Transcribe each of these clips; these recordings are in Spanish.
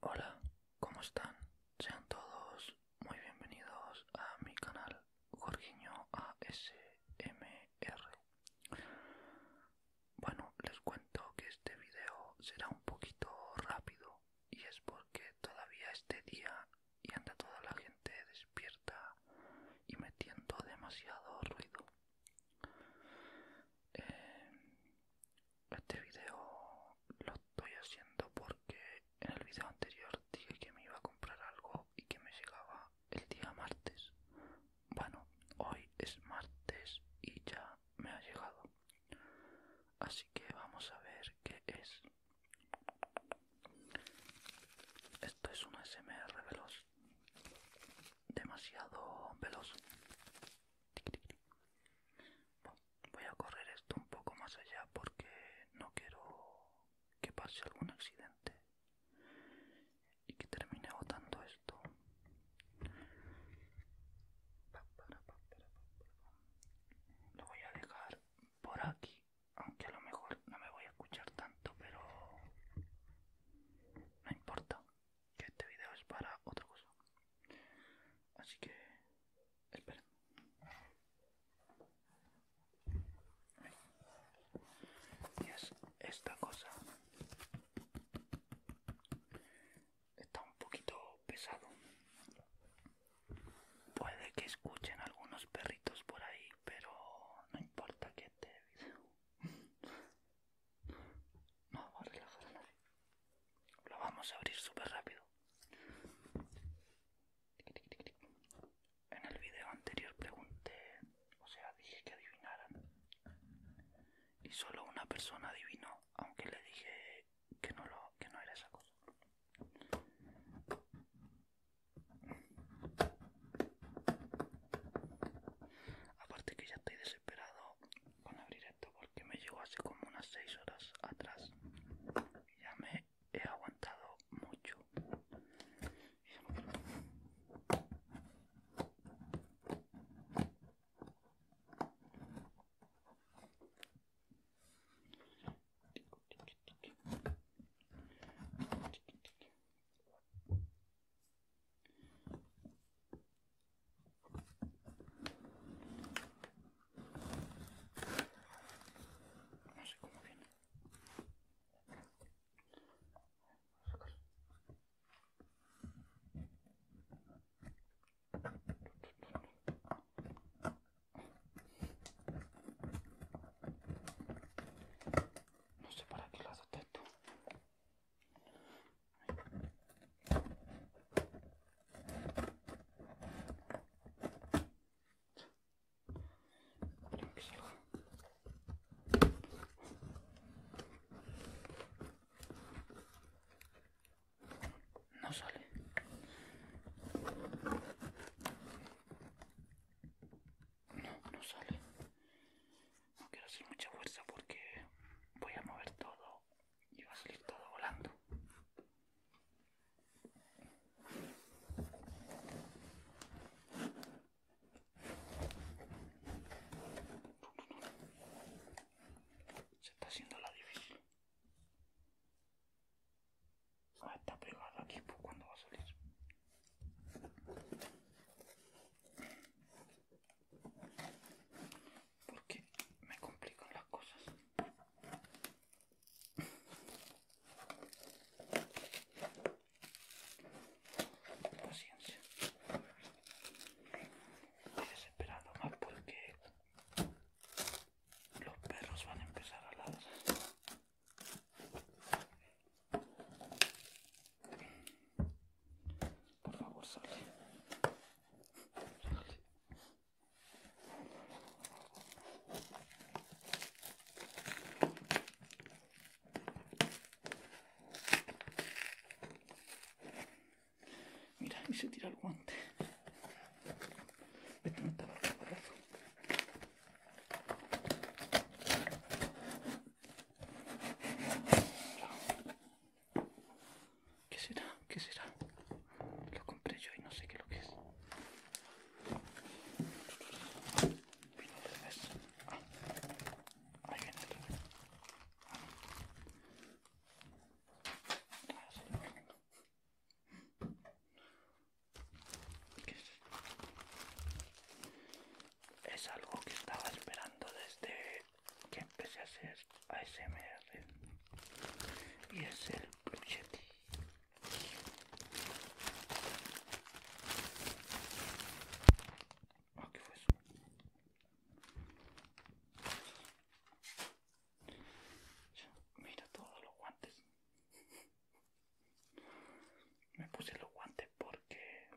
Hola, ¿cómo están? Sean todos muy bienvenidos a mi canal Jorginho ASMR. Bueno, les cuento que este video será un poquito rápido y es porque todavía este día y anda toda la gente despierta y metiendo demasiado ruido. Eh, este video lo estoy haciendo porque en el video anterior dije que me iba a comprar algo y que me llegaba el día martes. Bueno, hoy es martes y ya me ha llegado. Así que vamos a ver qué es. Esto es un SMR veloz. Demasiado veloz. Voy a correr esto un poco más allá porque no quiero que pase algún accidente y que termine botando esto. Lo voy a dejar por aquí, aunque a lo mejor no me voy a escuchar tanto, pero no importa que este video es para otra cosa. Así que esperen. Y es esta cosa. Está un poquito pesado. Puede que escuchen algunos perritos por ahí, pero no importa que este video no vamos a relajar a nadie. Lo vamos a abrir súper rápido. En el video anterior pregunté, o sea, dije que adivinaran. Y solo una persona adivinó, aunque le dije que no, lo, que no era esa cosa. Aparte que ya estoy desesperado con abrir porque me llegó hace como unas 6 horas atrás y ya me he aguantado mucho no sé cómo viene. No sé para qué las esto no sale. No, no sale. No quiero hacer mucha fuerza porque voy a mover todo y va a salir todo volando. Se está haciendo la difícil. Ah, está pegado aquí, pues cuando va a salir porque me complican las cosas. Paciencia. Estoy desesperado más porque los perros van a empezar a ladrar. Por favor, salte. salte. Mira, y se tira el guante. Vete, no te Ciao. ¿Qué será? ¿Qué será? Lo compré yo y no sé qué es lo que es. Vino al revés. Ah, ahí viene el revés. Ahora se lo pongo. ¿Qué es? esto? es algo que estaba esperando desde que empecé a hacer ASMR y es el pucheti. Ah, mira todos los guantes. Me puse los guantes porque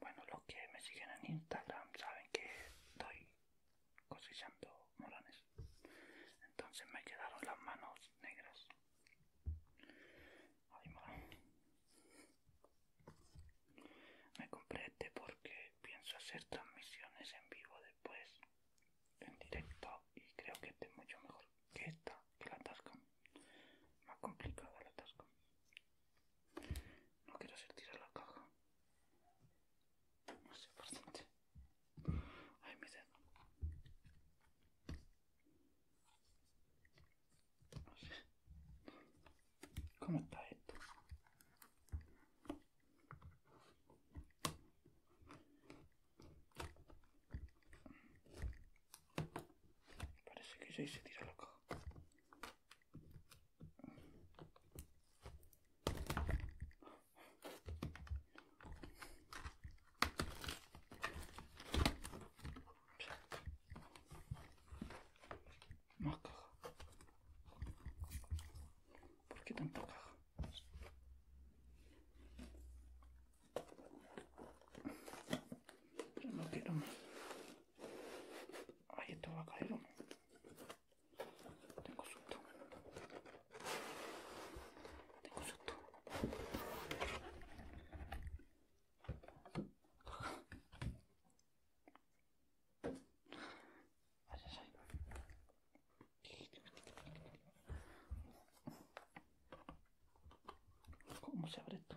bueno, los que me siguen en Instagram saben que estoy cosechando morones. Entonces me quedaron las manos negras. Ay, me compré este porque pienso hacer transmisiones en vivo después, en directo, y creo que este es mucho mejor que esta, que la Tascam. Más complicada la no quiero sentir a la caja. No sé por dónde. Ay, mi dedo. ¿Cómo está esto? Parece que ya hice tirar la caja. Más caja. ¿Por qué tanta caja? Yo no quiero más. Ay, esto va a caer o no. Tengo susto. Tengo susto. ¿Cómo se abre esto?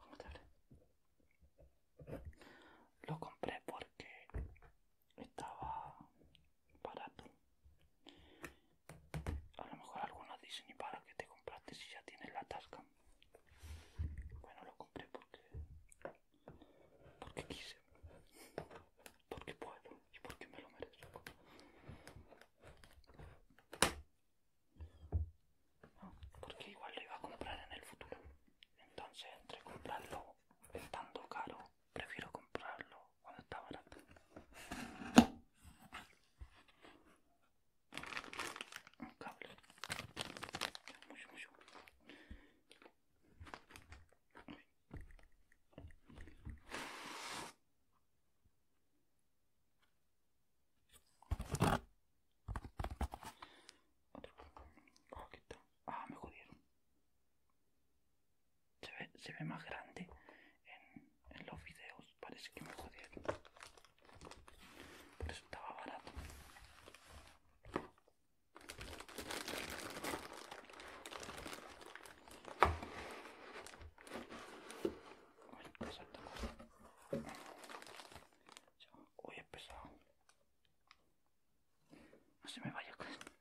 ¿Cómo te Lo compré porque estaba barato. A lo mejor algunos dicen, para que te compraste si ya tienes la tasca? Bueno, lo compré porque... porque quise porque puedo y porque me lo merezco. porque igual lo iba a comprar en el futuro. Entonces, entre comprarlo estando caro, prefiero comprarlo cuando está barato. Un cable. Mucho, mucho. Otro está, Ah, me jodieron. Se ve, más grande en, en los videos. Parece que me jodieron. Por eso estaba barato. Uy, es pesado. No se me vaya con esto.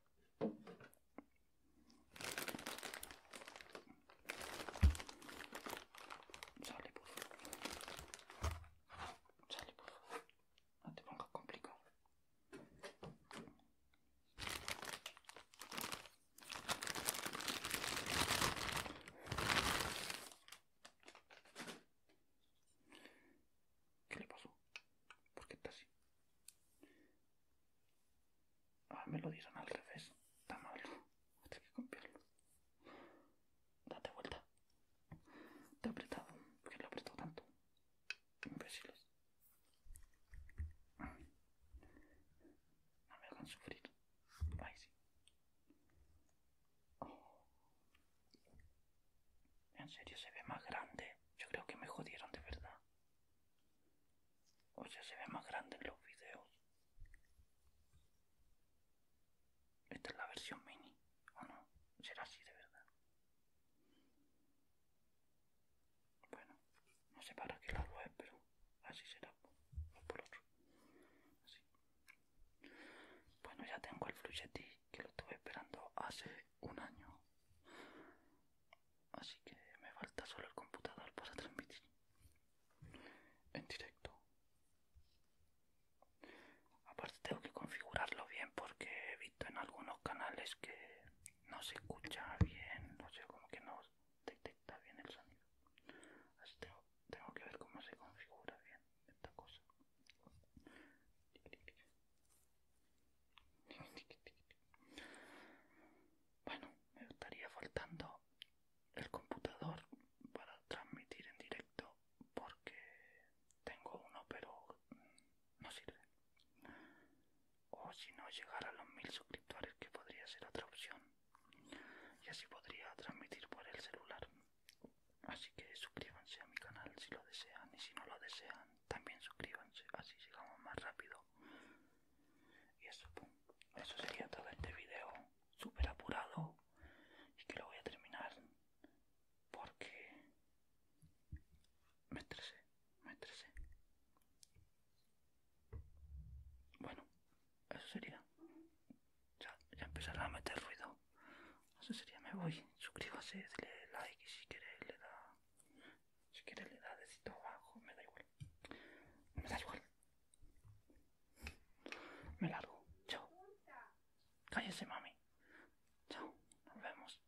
Sale, por favor. Sale, por favor. No te pongas complicado. ¿Qué le pasó? ¿Por qué está así? Ah, me lo dieron al revés. Está mal. Hay que cambiarlo. Date vuelta. Te he apretado. ¿Por qué lo he apretado tanto? Imbéciles. No me hagan sufrir. Oh. En serio se ve más grande. Yo creo que me jodieron de verdad. O se ve más grande en los videos. Esta es la versión mini, ¿o no? Será así de verdad. Bueno, no sé para qué lado es, pero así será. por otro. Bueno, ya tengo el fluchetti que lo estuve esperando hace un año. Así que me falta solo el computador para transmitir en directo. Aparte tengo que configurarlo bien porque he visto en algunos canales que no se escucha bien, no sé, como que no detecta bien el sonido. Así tengo, tengo que ver cómo se configura bien esta cosa. Bueno, me estaría faltando el computador para transmitir en directo porque tengo uno pero no sirve o si no llegar a los mil suscriptores que podría ser otra opción y así podría transmitir por el celular así que suscríbanse a mi canal si lo desean y si no lo desean también suscríbanse así llegamos más rápido y eso eso sería todo este video súper apurado y que lo voy a terminar porque me estresé, me estresé. Bueno, eso sería. Ya, ya a meter ruido. Eso sería, me voy. Suscríbase, dale like y si quiere le da. Si quiere le da dedito abajo, me da igual. Me da igual. Me largo. Chao. Cállese, mami. Chao. Nos vemos.